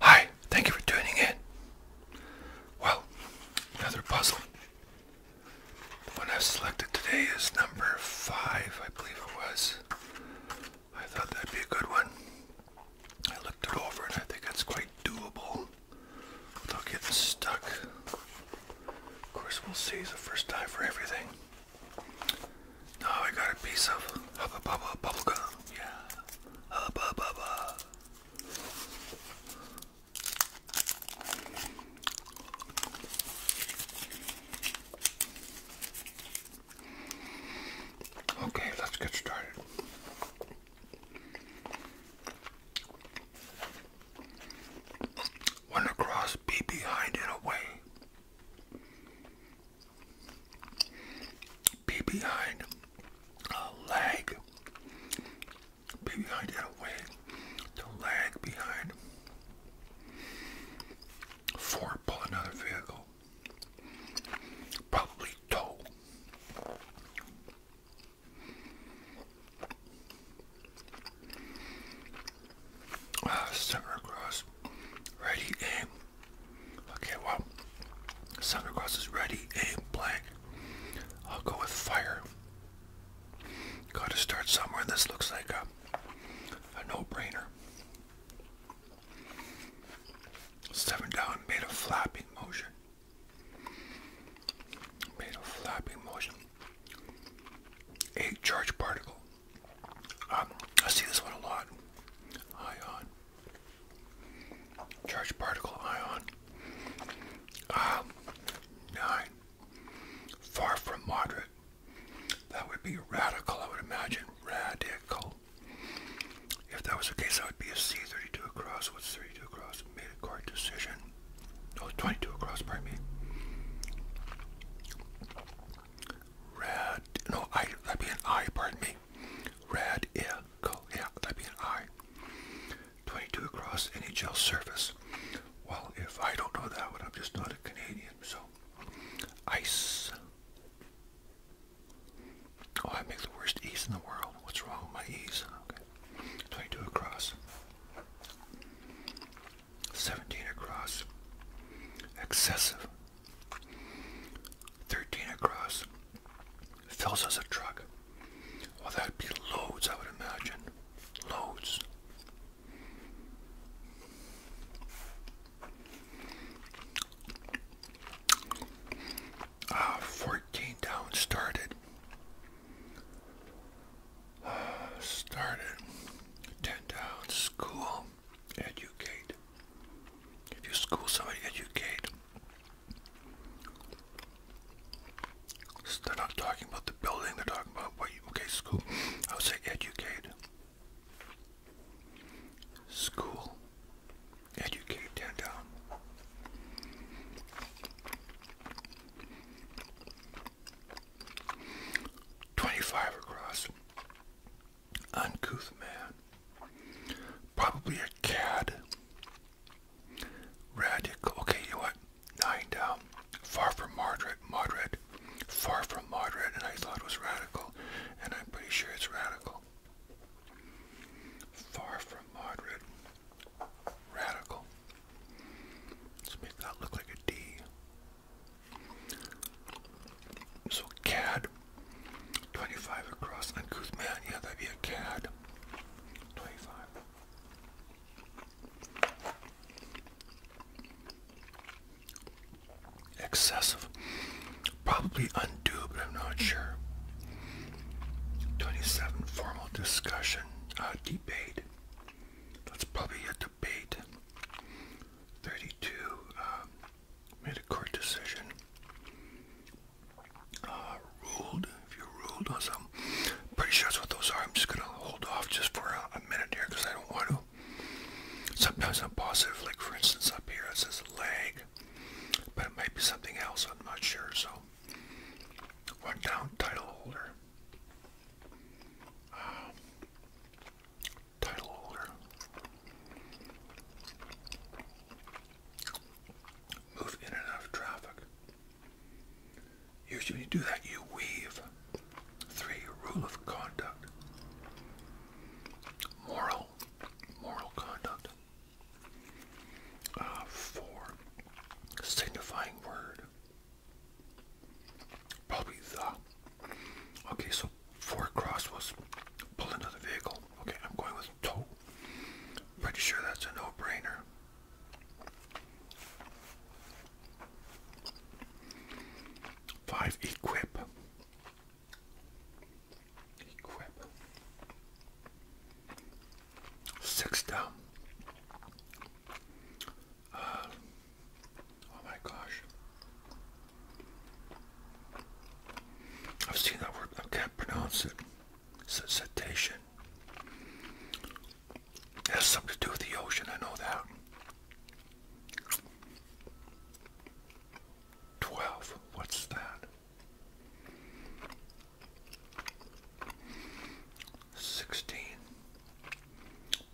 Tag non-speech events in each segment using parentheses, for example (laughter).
Hi, thank you for tuning in. Well, another puzzle. The one I've selected today is number five, I believe it was. I thought that'd be a good one. I looked it over and I think it's quite doable without getting stuck. Of course, we'll see the first time for everything. Now I got a piece of hubba bubba bubble gum. Yeah, hubba bubba. Okay, let's get started. When the be behind and away. Be behind a lag. Be behind and away. To lag behind. Four, pull another vehicle know. Probably toe. Ah, ready and okay well Summer Cross is ready and blank. I'll go with fire. Gotta start somewhere. This looks like a no-brainer. Seven down made a flapping motion. Made a flapping motion. Eight charge particle. Um, I see this one a lot. Ion. Charge particle ion. Um, nine. Far from moderate. That would be radical, I would imagine. Radical. If that was the case, that would be a C32 across. What's 32 across? Made a court decision. No, 22 across, pardon me. Red, no, I, that'd be an I, pardon me. Red, yeah, cool, yeah, that'd be an I. 22 across NHL surface. Well, if I don't know that one, I'm just not a Canadian, so. Ice. Oh, I make the worst E's in the world. What's wrong with my E's? 22 across. 17 across. Excessive. 13 across. Fills us a truck. Well, that'd be loads, I would imagine. Loads. Uh, 14 down started. started. 10 down school. Educate. If you school somebody, educate. they're not talking about the building, they're talking about what you, okay, school. I would say educate. School. Educate them down. Twenty-five across. Uncouth man. Probably a cad. Radical. Okay, you what? Nine down. Far from moderate. Moderate. Far from moderate, and I thought it was radical, and I'm pretty sure it's radical. Far from moderate. Radical. Let's make that look like a D. So CAD. 25 across uncouth man. Yeah, that'd be a CAD. 25 excessive, probably undue, but I'm not sure. 27. Formal discussion, uh, debate. That's probably a debate. 32. Um, made a court decision. Uh, ruled, if you ruled on something. Pretty sure that's what those are. I'm just going to hold off just for a minute here because I don't want to Sometimes I'm positive, like for instance up here it says leg, but it might be something else, I'm not sure. So, one down title holder. Um, title holder. Move in and out of traffic. Usually when you do that, you weave. Three, rule of conduct. Moral, moral conduct. Uh, four, signifying word. Probably the. Okay, so four cross was pull into vehicle. Okay, I'm going with tow. Pretty sure that's a no-brainer. Five, equip. Crap. Six down. Uh, oh my gosh. I've seen that word, I can't pronounce it. C cetacean. It has something to do with the ocean, I know that. Twelve. What's that? Sixteen.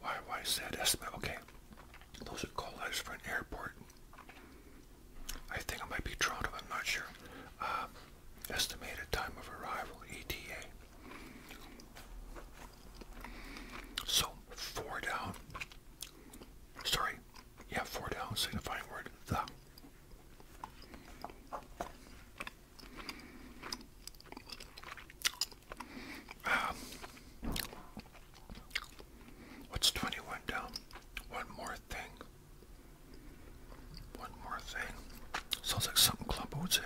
Why, why is that estimate? Okay. Those are call letters for an airport. I think it might be Toronto, I'm not sure. Uh, estimated time of arrival, ETA. So four down. Sorry, yeah, four down signifying word the. Um, what's 21 down? One more thing. One more thing. Sounds like something club would say.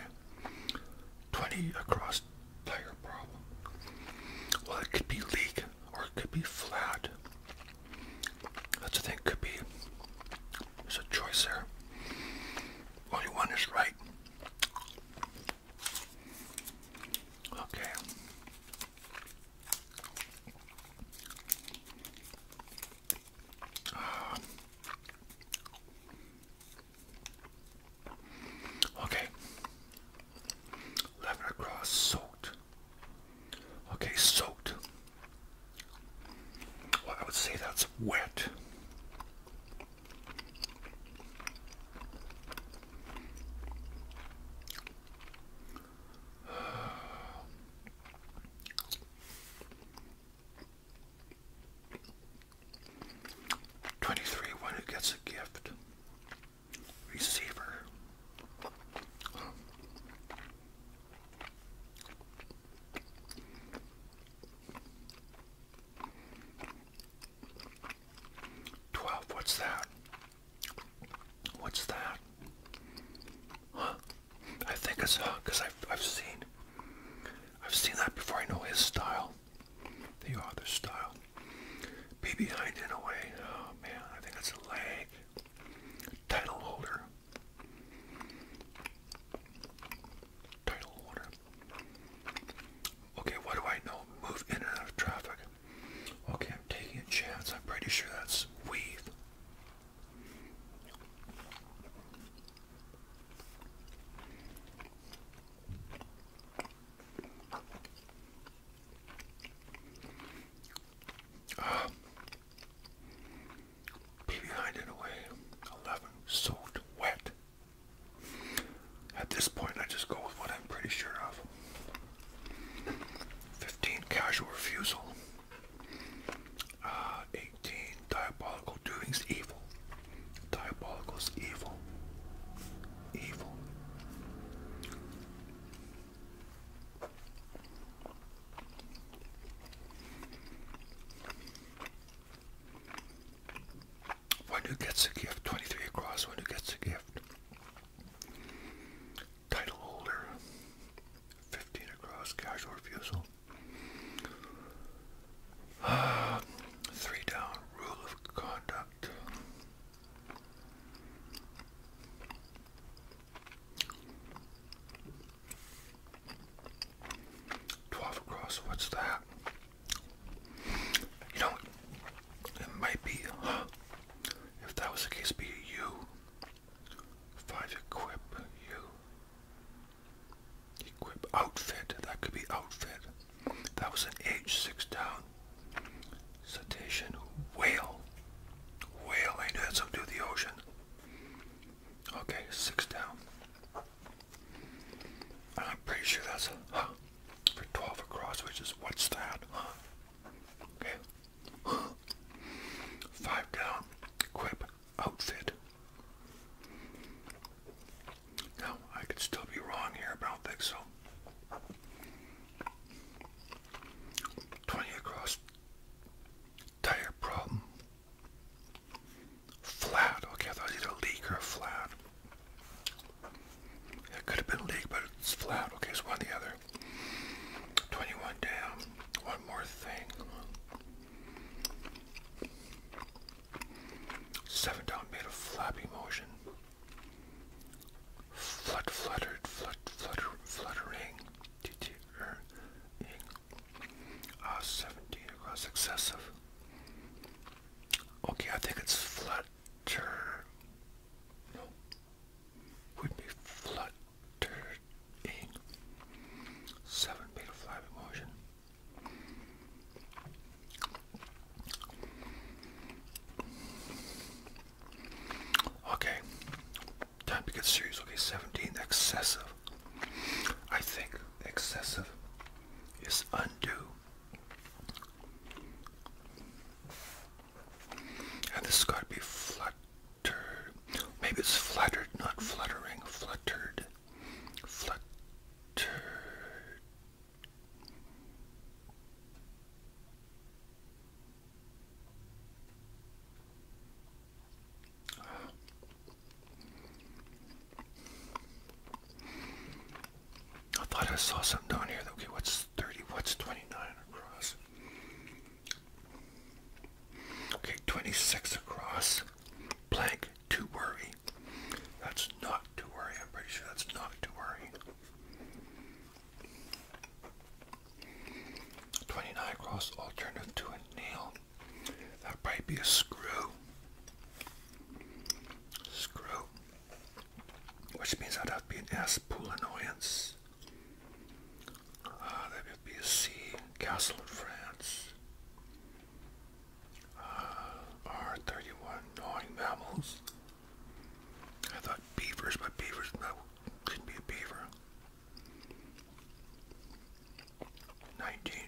20 across player problem. Well, it could be leak or it could be flat. That's the thing, could be. There's a choice there. Only one is right. Okay. Okay. Lavender grass soaked. Okay, soaked. Well, I would say that's wet. 23, one who gets a gift. Receiver. Twelve, what's that? What's that? Huh? I think it's huh, because I've I've seen I've seen that before. I know his style. The author's style. Be behind in a way. Oh man, I think that's a lag. Title holder. Title holder. Okay, what do I know? Move in and out of traffic. Okay, I'm taking a chance. I'm pretty sure that's weave. Uh, (sighs) behind it away, 11, soaked wet. At this point, I just go with what I'm pretty sure of. 15, casual refusal. Uh, 18, diabolical doings, evil. Diabolical's evil. Evil. One who gets a gift, 23 across, one who gets a gift. Title 15 across, casual refusal. Uh, (sighs) Three down rule of conduct. Twelve across, what's that? You know, it might be, If that was the case, be you. Five equip you. Equip outfit. That could be outfit. That was an H6 down. Cetacean whale. Whale. I knew that's up to the ocean. Okay, six down. I'm pretty sure that's a huh for 12 across, which is what's that? Okay. (gasps) Five down. Equip outfit. Now, I could still be wrong here, but I don't think so. 20 across tire problem. Flat. Okay, I thought it was either leak or flat. It could have been leak, but it's flat. Okay, it's one or the other. 21 down. One more thing. Seven Down made a flappy motion. Flut fluttered, flut flutter, fluttering, uh, ah, 17 across excessive. Okay, I think it's flutter. No, would be fluttering. Seven made a flappy motion. Okay, time to get serious. Okay, 17, excessive. I think excessive is undue. And this got to be fluttered. Maybe it's fluttered, not fluttering, fluttered. Flutter. I thought I saw something down here. Okay, what's 30? What's 29 across? Okay, 26 across. Blank to worry. That's not to worry. I'm pretty sure that's not to worry. 29 cross alternative to a nail. That might be a screw. Screw. Which means that'd have to be an S pool annoyance. Uh, that would be a C, Castle in France. R31 gnawing mammals. I thought beavers, but beavers no, couldn't be a beaver. 19.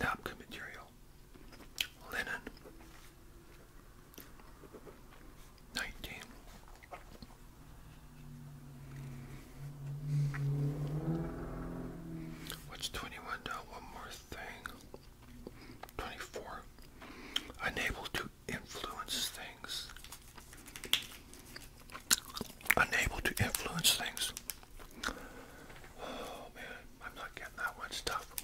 Napkin material. Linen. 19. What's 21 now? One more thing. 24. Unable to influence things. Unable to influence things. Oh man, I'm not getting that one stuff.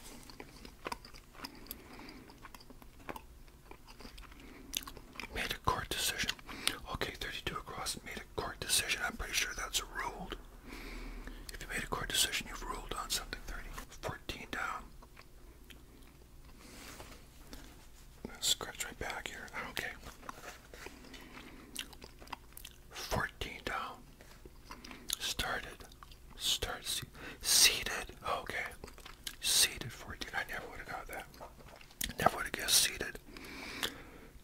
Made a court decision. Okay, 32 across. Made court decision, I'm pretty sure that's ruled. If you made a court decision, you've ruled on something. 30, 14 down. Scratch right back here. Okay. 14 down. Started. Start. seated. Okay. Seated 14. I never would have got that. Never would have guessed seated.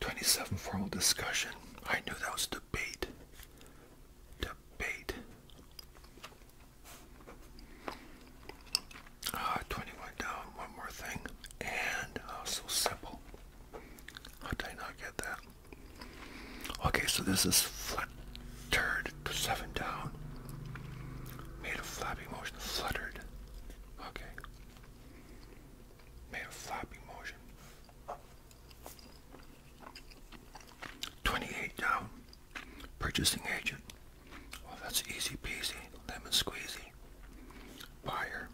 27 formal discussion. I knew that was debate. Debate. Uh, 21 down, one more thing. And ah, so simple. How did not get that? Okay, so this is fluttered. 7 down. Made a flappy motion. Fluttered. Okay made a floppy motion. 28 down. Purchasing agent. Well, oh, that's easy peasy, lemon squeezy. Buyer.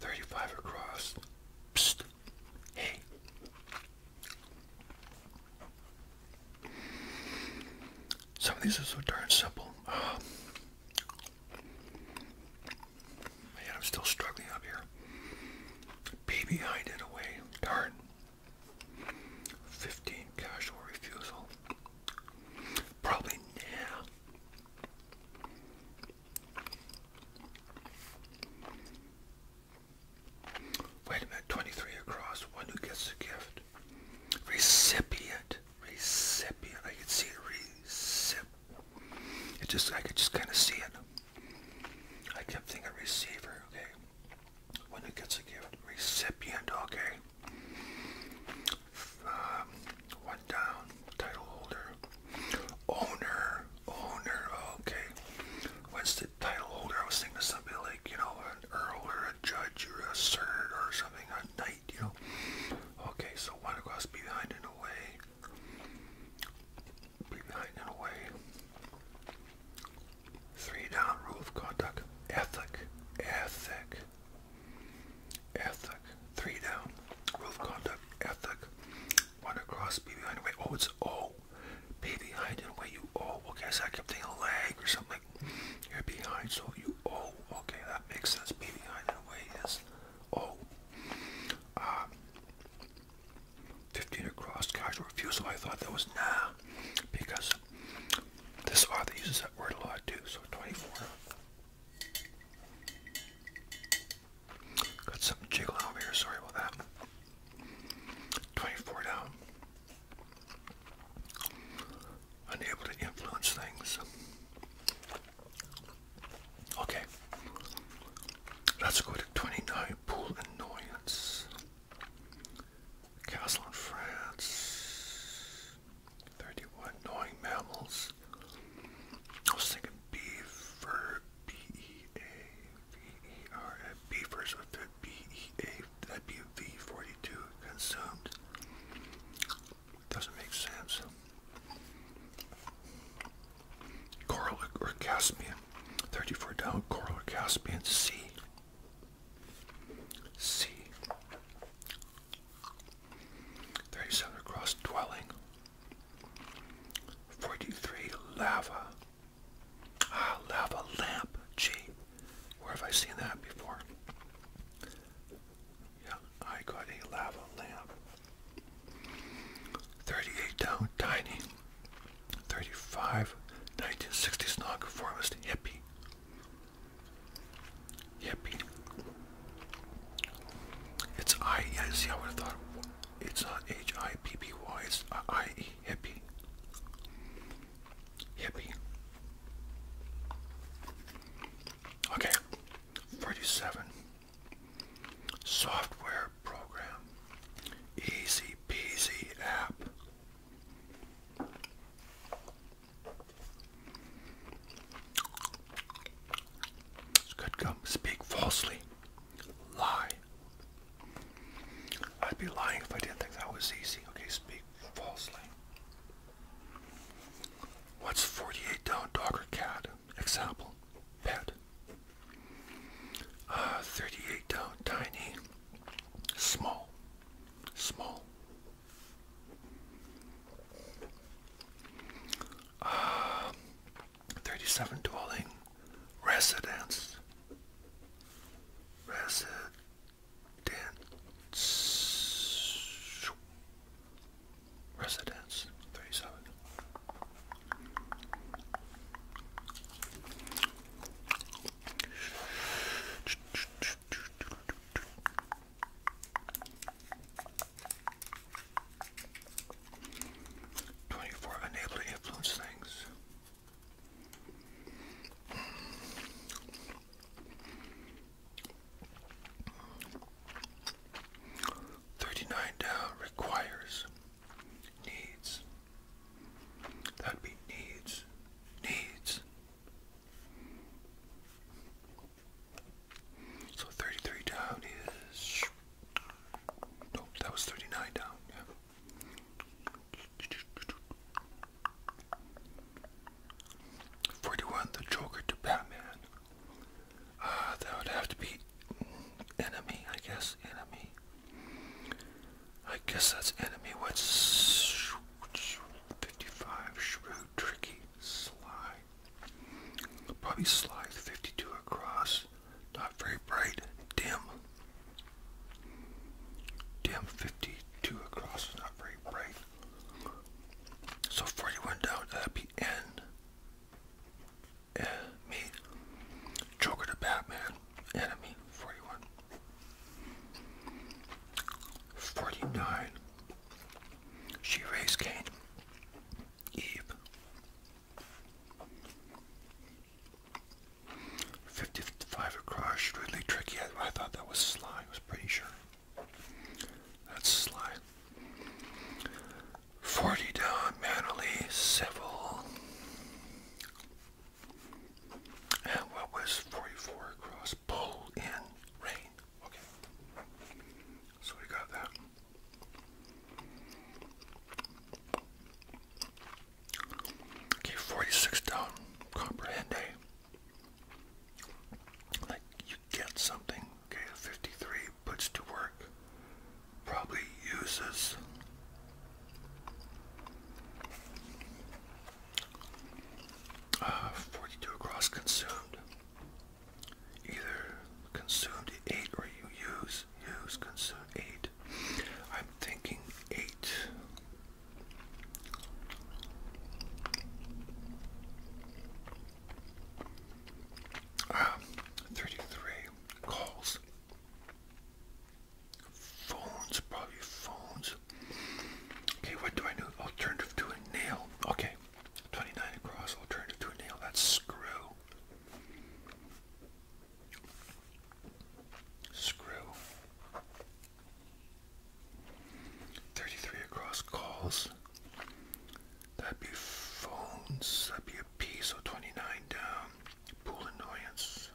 35 across. Hey. Some of these are so darn simple. (sighs) man, I'm still struggling up here. PBI did away. Darn. 15 casual refusal. Probably, yeah. Wait a minute, 23 across, who gets the gift recipient, recipient. I can see recip. It just, I could just kind of see it. I kept thinking receiver. Okay, when it gets a gift, recipient. Okay. Um, one down, title holder, owner, owner, okay. What's the title holder? I was thinking it's gonna be like, you know, an earl or a judge or a sir or something, a knight. Okay, so one across behind and away. Behind and away. Three down rule of conduct. Ethic. Ethic. Ethic. Three down. Rule of conduct. Ethic. One across be behind and away. Oh it's O. Be behind and away you oh okay so I kept thinking lag or something you're behind, so you owe. Oh, okay, that makes sense. Be behind in a way is owe. Oh. Uh, 15 across casual refusal. I thought that was nah, because this author uses that word a lot too. So 24. Got something jiggling over here. Sorry about that. 24 down unable to influence things. Okay, let's go to 29 Pool Annoyance. Castle in France. 31 Gnawing Mammals. I was thinking beaver, B E A V E R, beavers with the B E A WV42 consumed. Doesn't make sense. Coral or Caspian, 34 down, Coral or Caspian Sea. Sea. 37 across, dwelling. 43 lava. Ah, lava lamp. Gee, where have I seen that before? Yeah, I got a lava lamp. 38 down, tiny. 35, 1960s nonconformist hippie. Hippie. It's I, yeah, see, I would have thought it's not H I P P Y, it's I E hippie hippie. Okay, 47. Software program. Easy peasy app. It's good come speak falsely. Lie. I'd be lying if I didn't think that was easy. Okay, speak falsely. What's 48 down dog or cat? Example, pet. Uh, 38 down tiny, small, small. Uh, 37 dwelling, residence, residence. Dance Residence 37. Twenty-four influence things. Thirty-nine down requires needs. That'd be needs. Needs. So thirty-three down is Nope, that was thirty-nine down, 41, the Joker to Batman. Uh, that would have to be enemy, I guess. Enemy. I guess that's enemy. What's 55? Shrewd, tricky, sly. Probably sly. 52 across. Not very bright. Dim. Dim 52 across is not very bright. So 41 down, uh, that'd me. Joker the Batman. Enemy. 41. 49. She raised Cain. Eve. 50 55 across, really tricky. I, thought that was Sly, I was pretty sure. That's Sly. 40 down, Manly, Civil. And what was 44 across? Pull in, rain. Okay. So we got that. Okay, 46 down, comprehende. Eh? Like, you get something. Okay, 53 puts to work. Probably uses. 42 across consumed. Either consumed 8 or you use, use, consume 8. I'm thinking 8 Ah, 33 calls. Phones, probably phones. Okay, what do I do? Alternative to a nail. Okay, 29 across, alternative to a nail. That's screw. Screw. 33 across calls. That'd be phones. That'd be a P, so 29 down. Pool annoyance.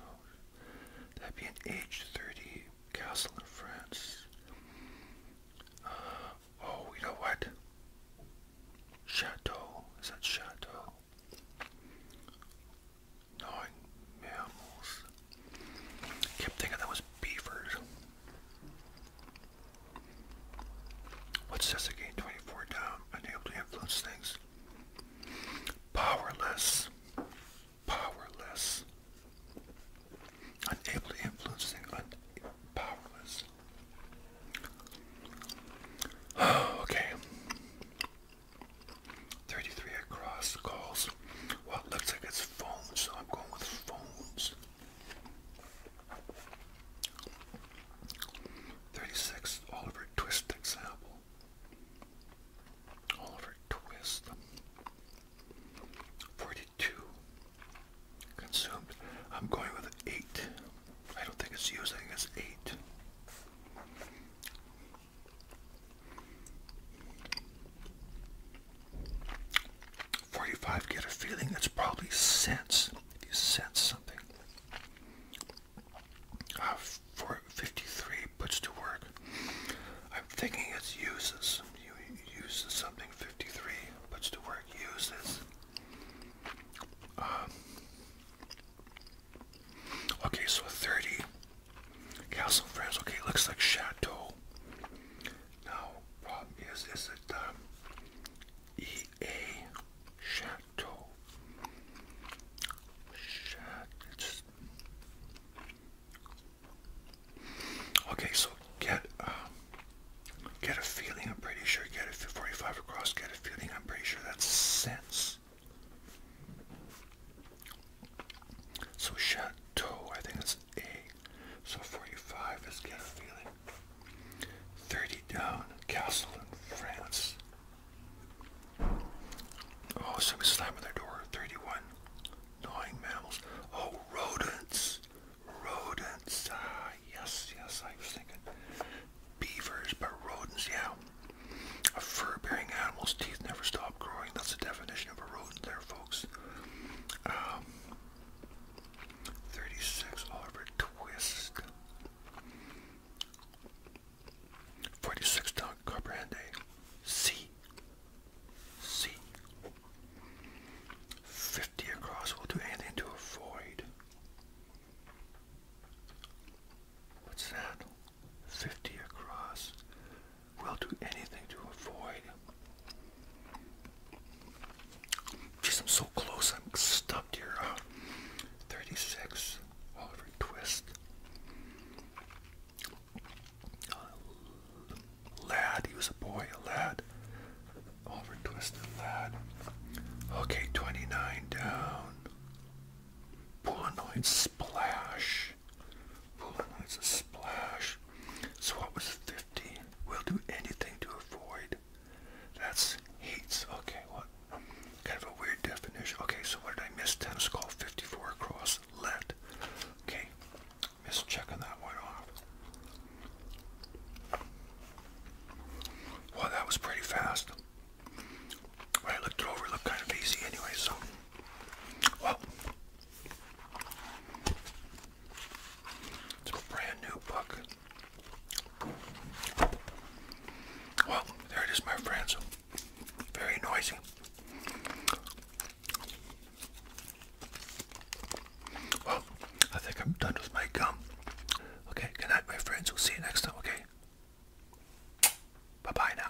that'd be an H, 30. Castle in France. Uh, oh, you know what? Chateau. Is that Chateau? Gnawing mammals. Kept thinking that was beavers. What's this again? 24 down. Unable to influence things. Powerless. Powerless. Unable to influence things. powerless. (sighs) okay. 33 across calls. Well, it looks like it's phones, so I'm going with phones. 36 Oliver Twist example. Oliver Twist. 42 consumed. I'm going with 8. I don't think it's using it's 8. 45 get a feeling it's probably sense. If you sense something. Uh, puts to work. I'm thinking it's uses. uses something. 53 puts to work. Uses. Um, Okay, so 30. Castle friends. Okay, looks like chateau. Now, is, is it um, EA chateau? Chateau. Okay, so get um, get a feeling. I'm pretty sure. Get a 45 across. Get a feeling. I'm pretty sure that's sense this. So Chateau, I think it's A. So 45 is getting a feeling. 30 down, Castle in France. Oh, somebody slamming their door. 31, gnawing mammals. Oh, rodents. Rodents. Ah, yes, yes, I was thinking beavers, but rodents, yeah. A fur-bearing animal's teeth never stop growing. That's the definition of a rodent there, folks. Um, 36, Oliver Twist. 46, Don Carbrande. C. C. 50 across will do anything to avoid. What's that? 50 across. We'll do anything to avoid. Jeez, I'm so close. I'm stuck here. 36. Oliver Twist. Uh, lad. He was a boy. A lad. Oliver Twist and lad. Okay, 29 down. Pulenoid splash. Pulenoid's a splash. So what was 15? We'll do anything to avoid. That's heats. Okay, what? Kind of a weird definition. Okay, so what did I miss? Tennis call 54 across left. Okay, miss checking that one off. Well, that was pretty fast. I looked it over, looked kind of easy anyway, so. Well, it's a brand new book. Well, there it is, my friends. Very noisy. I think I'm done with my gum. Okay, good night, my friends. We'll see you next time, okay? Bye bye now.